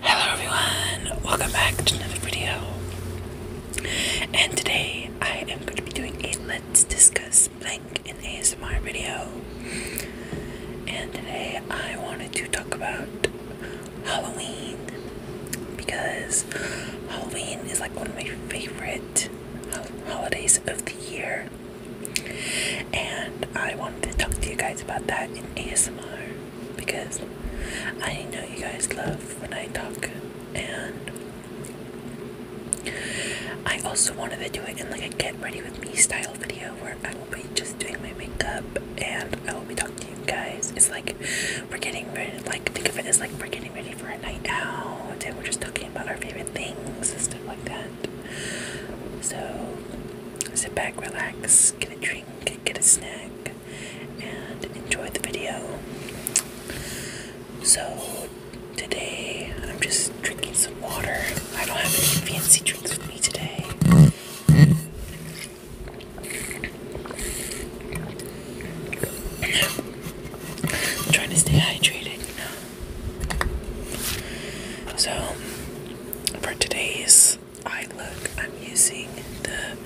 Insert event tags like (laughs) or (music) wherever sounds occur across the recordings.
Hello everyone, welcome back to another video. And today I am going to be doing a Let's Discuss Blank in ASMR video. And today I wanted to talk about Halloween because Halloween is like one of my favorite holidays of the year, and I wanted to talk to you guys about that in ASMR because I know you guys love when I talk, and I also wanted to do it in like a get ready with me style video where i will be just doing my makeup and I will be talking to you guys. It's like we're getting ready, like think of it as like we're getting ready for a night out and we're just talking about our favorite things and stuff like that. So sit back, relax, get a drink, get a snack, and enjoy the video. So today I'm just drinking some water. I don't have any fancy drinks with me today trying to stay hydrated, So, for today's eye look, I'm using the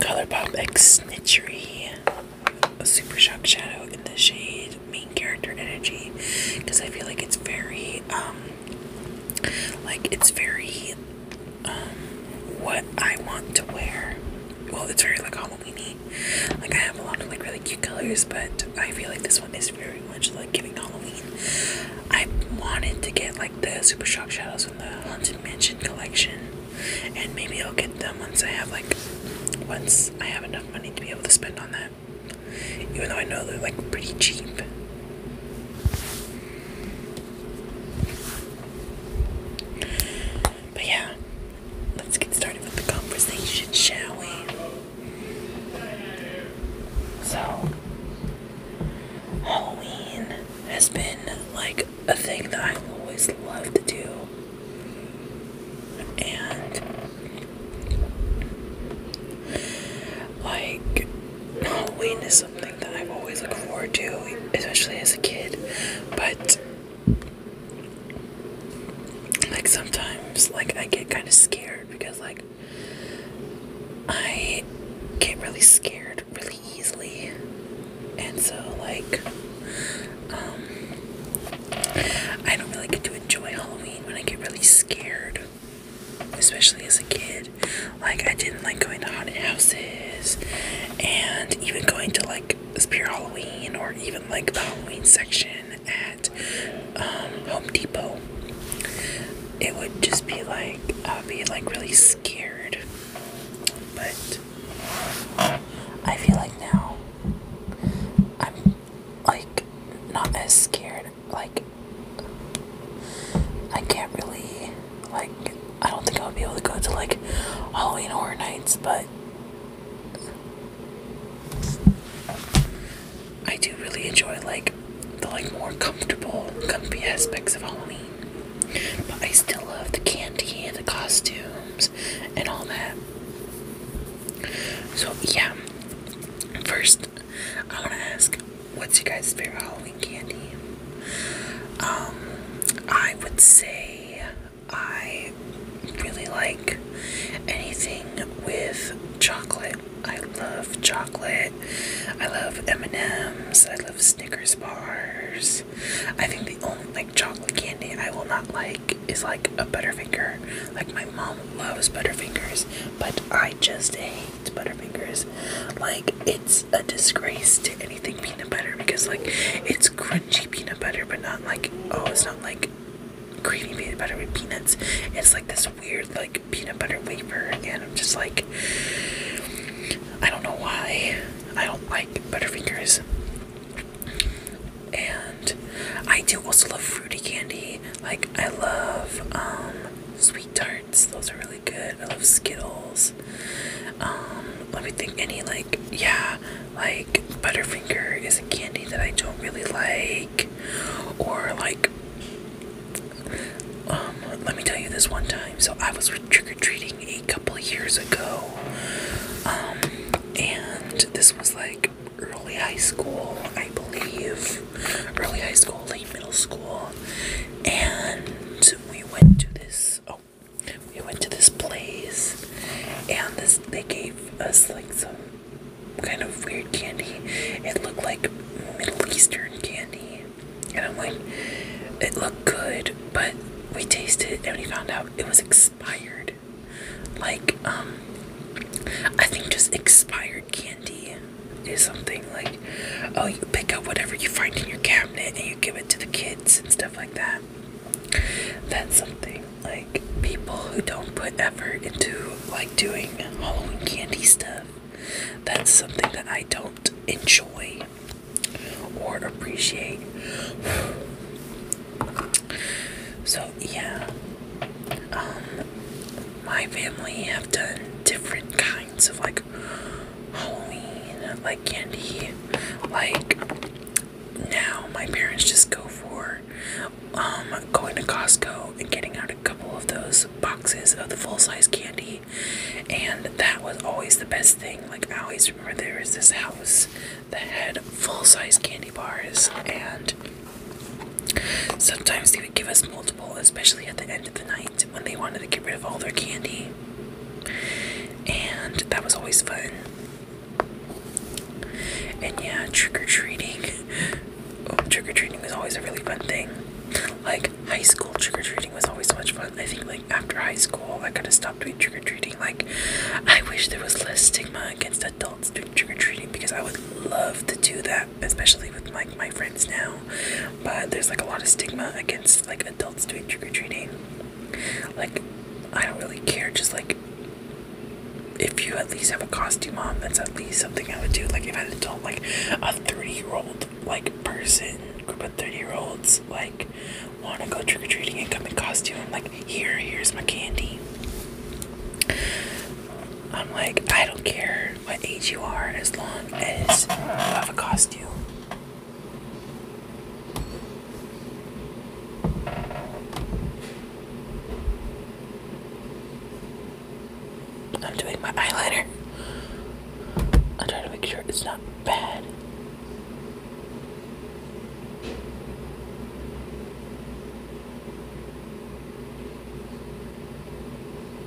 ColourPop X Snitchery Super Shock Shadow in the shade Main Character Energy because I feel like it's very um, like it's very um, what I want to wear. Well, it's very like Halloweeny. Like I have a lot of like really cute colors, but I feel like this one is very much like giving Halloween. I wanted to get like the Super Shock Shadows from the Haunted Mansion collection, and maybe I'll get them once I have like once I have enough money to be able to spend on that even though I know they're like pretty cheap. But yeah, let's get started with the conversation, shall we? So, Halloween has been like a thing that I've always loved to do. And, like, Halloween is something that I've always looked forward to, especially as a kid. But like sometimes, like I get kind of scared because like I get really scared really easily, and so like um, I don't really get to enjoy Halloween when I get really scared especially as a kid. Like I didn't like going to haunted houses and even going to like Spirit Halloween or even like the Halloween section at um, Home Depot. It would just be like I'd be like really scared. But I feel like now I'm like not as scared like I can't really like I don't think I'll be able to go to like Halloween horror nights but I do really enjoy like the like more comfortable comfy aspects of Halloween. But I still love the candy and the costumes and all that. So yeah. First I want to ask, what's your guys' favorite Halloween candy? Um, I would say I really like anything with chocolate. I love chocolate. I love M&M's. I love Snickers bars. I think the only like chocolate candy I will not like is like a Butterfinger. Like my mom loves Butterfingers, but I just hate hates Butterfingers. Like, it's a disgrace to anything peanut butter because, like, it's crunchy peanut butter, but not like, oh, it's not like creamy peanut butter with peanuts. It's like this weird, like, peanut butter wafer, and I'm just like, I don't know why. I don't like Butterfingers. And I do also love fruity candy. Like, I love, um, sweet tarts. Those are really good. I love Skittles. Um, let me think. Any like, yeah, like Butterfinger is a candy that I don't really like. Or like, um, let me tell you this one time. So I was trick or treating a couple years ago. Um, and this was like early high school, I believe early high school, late middle school, and we went to this. Oh, we went to this place, and this they gave us like some kind of weird candy. It looked like Middle Eastern candy, and I'm like, it looked good, but we tasted it and we found out it was expired. Like, um, I think just expired candy is something like, oh, you pick up whatever you find in your cabinet and you give it to the kids and stuff like that. That's something like people who don't put effort into like doing Halloween candy stuff. That's something that I don't enjoy or appreciate. (sighs) So yeah. Um, my family have done different kinds of like Halloween, like candy. Like now, my parents just go for um, going to Costco and getting out a couple of those boxes of the full size candy, and that was always the best thing. Like I always remember, there was this house that had full size candy bars and. Sometimes they would give us multiple, especially at the end of the night when they wanted to get rid of all their candy. And that was always fun. And yeah, trick or treating. (laughs) Oh, trick or treating was always a really fun thing. Like, high school trick or treating was always so much fun. I think, like, after high school, I could have stopped doing trick or treating. Like, I wish there was less stigma against adults doing trick or treating because I would love to do that especially with like my, friends now. But there's like a lot of stigma against like adults doing trick or treating. Like, I don't really care. Just like, if you at least have a costume on, that's at least something I would do. Like, if an adult, like a 30 year old, like person, group of 30 year olds, like want to go trick or treating and come in costume, I'm like, here, here's my candy. I'm like, I don't care what age you are as long as I have a costume. I'm doing my eyeliner. I'm to make sure it's not bad.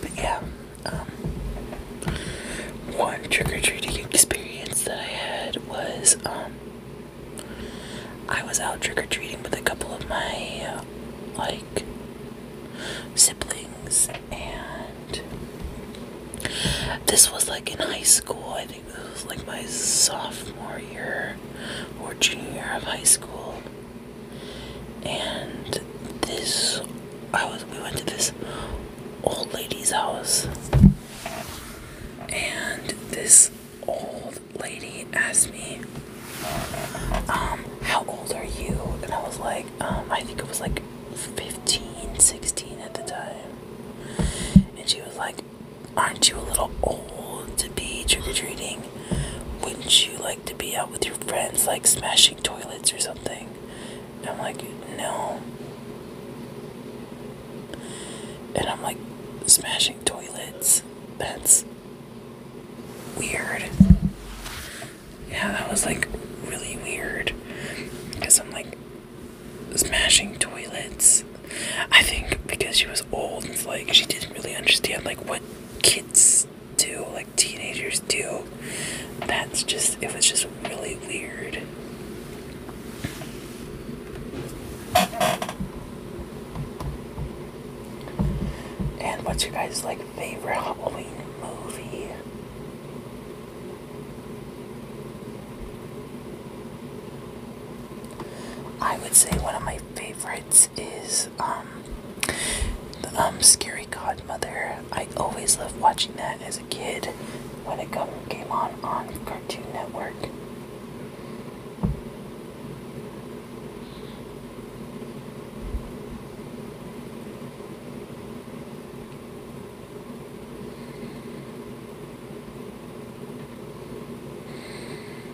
But yeah, um, one trick or treating experience that I had was um, I was out trick or treating with a couple of my like siblings, and this was like in high school. I think it was like my sophomore year or junior year of high school and this I was we went to this old lady's house and this old lady asked me um how old are you and I was like um I think it was like 15 16 at the time and she was like aren't you a little old to be trick or treating wouldn't you like to be out with your friends, like smashing toilets or something? And I'm like, no. And I'm like, smashing toilets? That's weird. Yeah, that was like really weird. Because I'm like, smashing toilets. I think because she was old, and like she didn't really understand like what kids do, like teenagers do. That's just, it was just really weird. And what's your guys' like favorite Halloween movie? I would say one of my favorite is um, um Scary Godmother. I always loved watching that as a kid when it come, came on on Cartoon Network.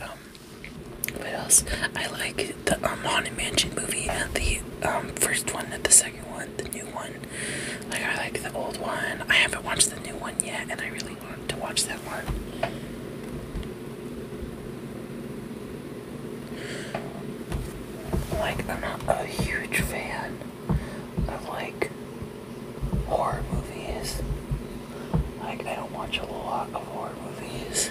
Um, what else? I like the um, Haunted Mansion movie, uh, the um, first one, not the second one, the new one. Like I like the old one. I haven't watched the new one yet, and I really to watch that one. Like, I'm not a huge fan of like horror movies. Like, I don't watch a lot of horror movies.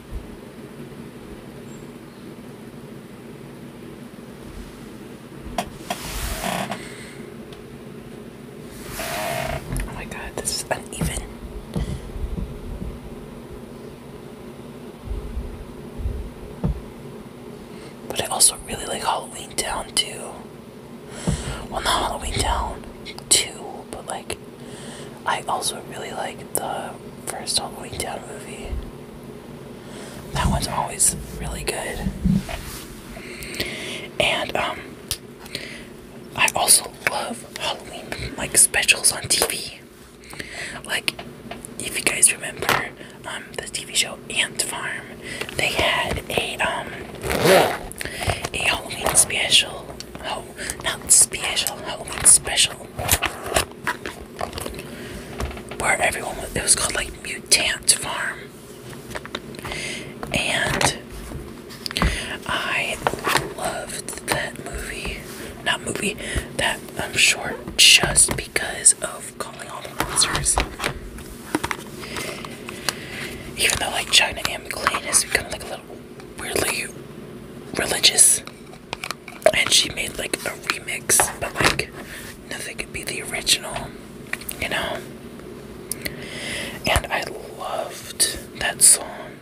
Oh my god, this is uneven. But I also really like Halloween Town too. Well, not Halloween Town 2, but like I also really like the first Halloween Town movie. That one's always really good. And um I also love Halloween like specials on TV. Like if you guys remember um the TV show Ant Farm, they had a um a Halloween special. Oh, not special, Halloween special where everyone was, it was called like Mutant Farm. And I loved that movie, not movie, that I'm um, sure, just because of calling all the monsters. Even though like China and McLean has become like a little weirdly religious and she made like a remix, but like nothing could be the original, you know. And I loved that song.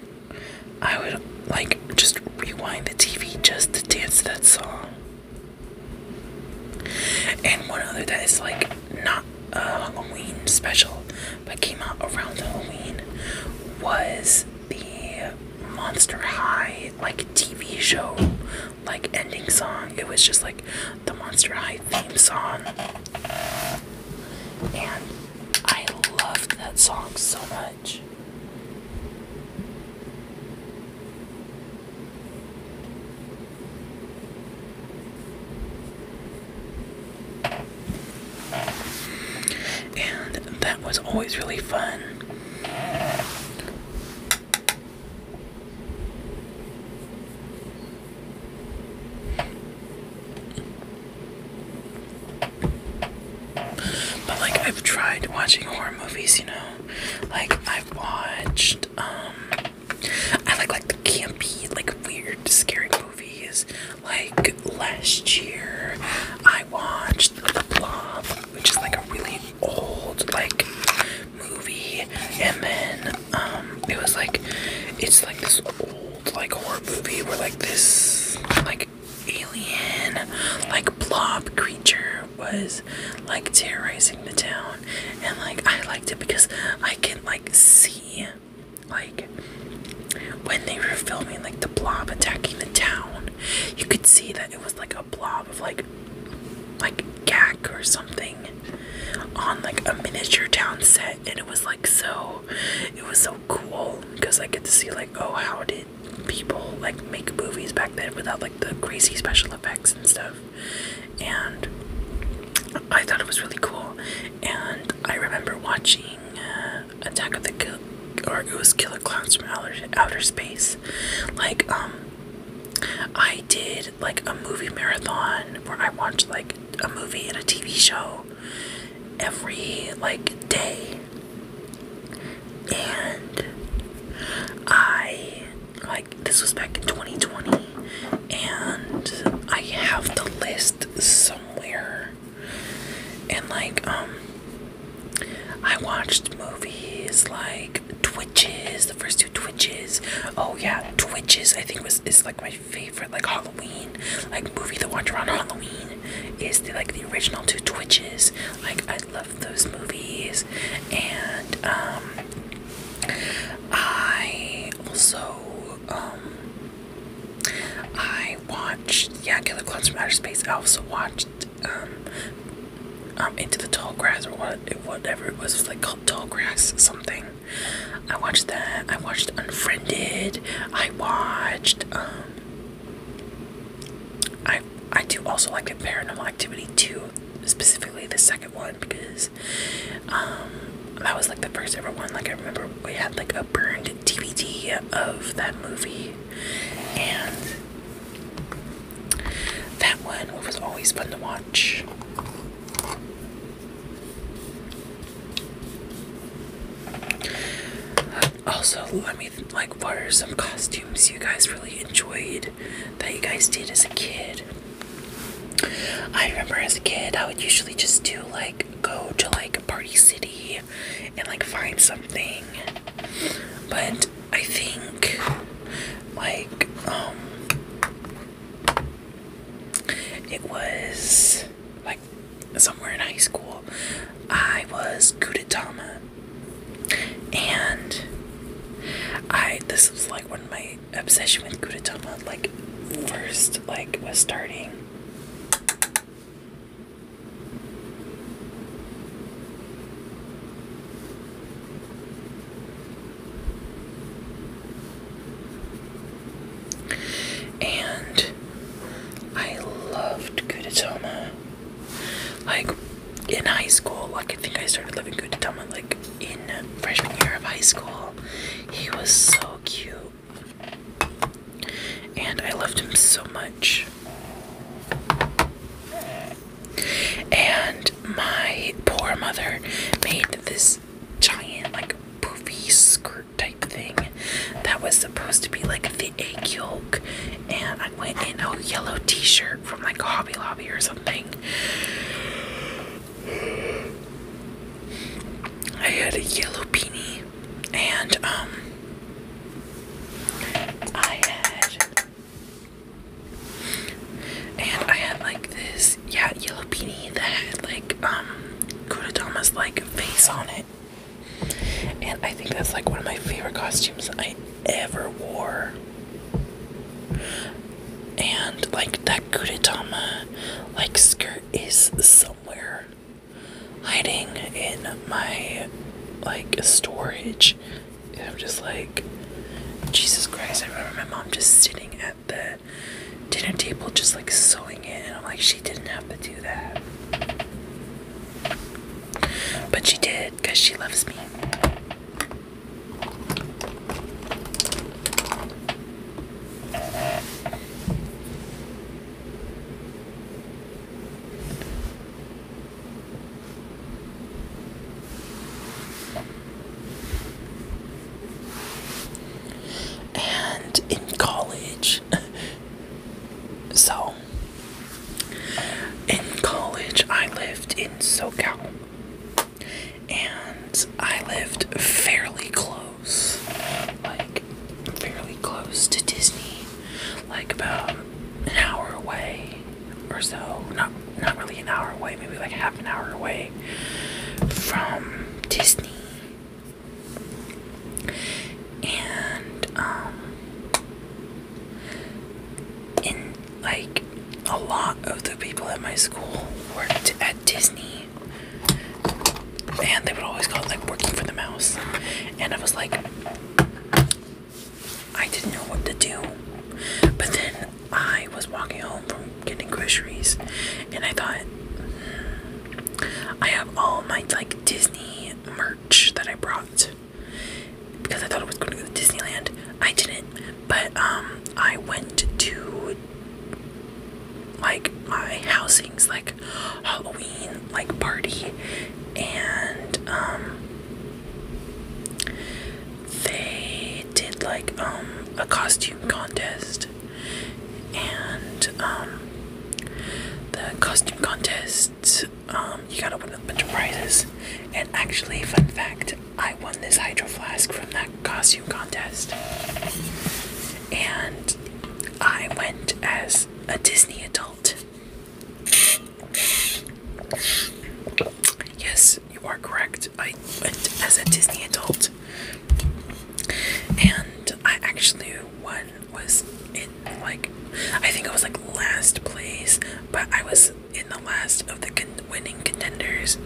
I would like just rewind the TV just to dance that song. And one other that is like not a Halloween special but came out around Halloween was the Monster High like TV show like ending song. It was just like the Monster High theme song. And I loved that song so much. And that was always really fun. But like I've tried watching horror movies, you know. Like I've watched um I like like the campy, like weird, scary movies. Like last year, watched The Blob, which is like a really old like movie, and then um, it was like it's like this old like horror movie where like this like alien like blob creature was like terrorizing the town, and like I liked it because I can like see like when they were filming like the blob attacking the town, you could see that it was like a blob of like like gag or something on like a miniature town set and it was like so it was so cool because I get to see like oh how did people like make movies back then without like the crazy special effects and stuff and I thought it was really cool and I remember watching uh, Attack of the Kill, or it was Killer Clowns from outer, outer Space. Like, um, I did like a movie marathon where I watched like a movie and a TV show every like day, and I like this was back in 2020, and I have the list somewhere and like um I watched movies like Twitches, the first two Twitches. Oh yeah, Twitches I think was is like my favorite like Halloween like movie to watch around Halloween is the like the original two Twitches. Like I love those movies and um I also um I watched yeah Killer Clowns from Outer Space. I also watched pushed um, into the tall grass or what, whatever it was, it was like called tall grass something. I watched that. I watched Unfriended. I watched. Um, I I do also like the Paranormal Activity two, specifically the second one because um, that was like the first ever one. Like I remember we had like a burned DVD of that movie and that one was always fun to watch. Also, let me like what are some costumes you guys really enjoyed that you guys did as a kid? I remember as a kid, I would usually just do like go to like Party City and like find something. But I think like um it was like somewhere in high school. I was Kudetama and I this was like when my obsession with Kudetama like first like was starting. And I loved Kudetoma. Like in high school, like I think I started loving Kudetoma like in freshman year of high school. He was so cute. And I loved him so much. And my poor mother made this giant, like, poofy skirt type thing that was supposed to be like the egg yolk. And I went in a yellow t shirt from like Hobby Lobby or something. I had a yellow beanie and um I had, and I had like this, yeah, yellow beanie that had like um Kurodama's like face on it, and I think that's like one of my favorite costumes I ever wore. And like that Kurodama like skirt is somewhere hiding in my like storage. And I'm just like, Jesus Christ, I remember my mom just sitting at the dinner table just like sewing it and I'm like, she didn't have to do that. But she did because she loves me and in college. (laughs) so, in college, I lived in SoCal. And I lived fairly close, like fairly close to Disney like about an hour away or so. Not not really an hour away, maybe like half an hour away from Disney. And um in like a lot of the people at my school worked at Disney. And they would always call it like working for the mouse. And I was like, I didn't know what to do. But then I was walking home from getting groceries and I thought hmm, I have all my like Disney merch that I brought because I thought I was going to go to Disneyland. I didn't, but um I went to like my housings like Halloween like party and um they did like um a costume contest and um the costume contest um you gotta win a bunch of prizes and actually fun fact I won this hydro flask from that costume contest and I went as a Disney adult Yes, you are correct. I went as a Disney adult, and I actually one was in like I think I was like last place, but I was in the last of the winning contenders.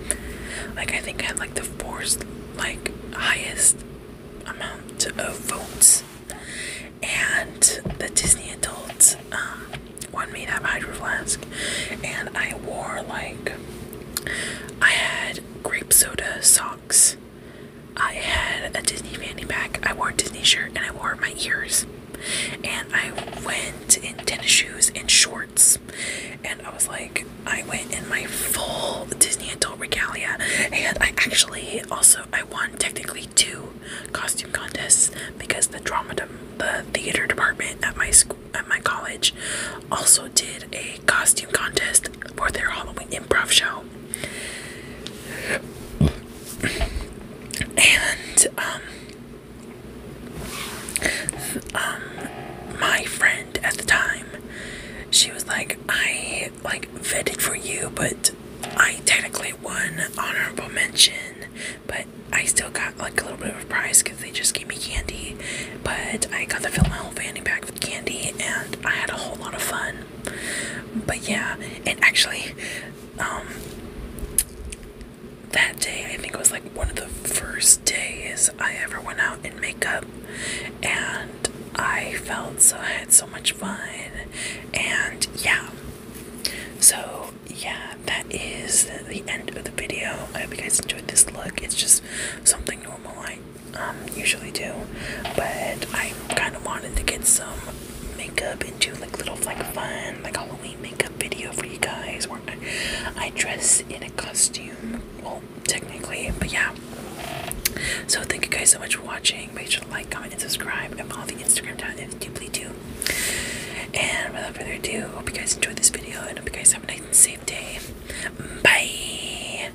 Like I think I had like the fourth like highest amount of votes, and the Disney adult um, one made out of Hydro Flask. And I wore like, I had grape soda socks, I had a Disney fanny pack, I wore a Disney shirt, and I wore my ears. And I went in tennis shoes and shorts. And I was like, I went in my full Disney adult regalia. And I actually also I won technically two costume contests because the drama the theater department at my school at my college also did a costume contest for their Halloween improv show. And um um my friend at the time she was like I like vetted for you, but I technically won honorable mention, but I still got like a little bit of a prize because they just gave me candy. But I got to fill my whole fanny pack with candy, and I had a whole lot of fun. But yeah, and actually, um, that day I think it was like one of the first days I ever went out in makeup, and I felt so I had so much fun and yeah so yeah that is the end of the video I hope you guys enjoyed this look it's just something normal I um usually do but I kind of wanted to get some makeup and do like little like fun like Halloween makeup video for you guys where I dress in a costume well technically but yeah so thank you guys so much for watching Make sure to like, comment, and subscribe, and follow the Instagram down if you please do. And without further ado, hope you guys enjoyed this video, and hope you guys have a nice and safe day. Bye.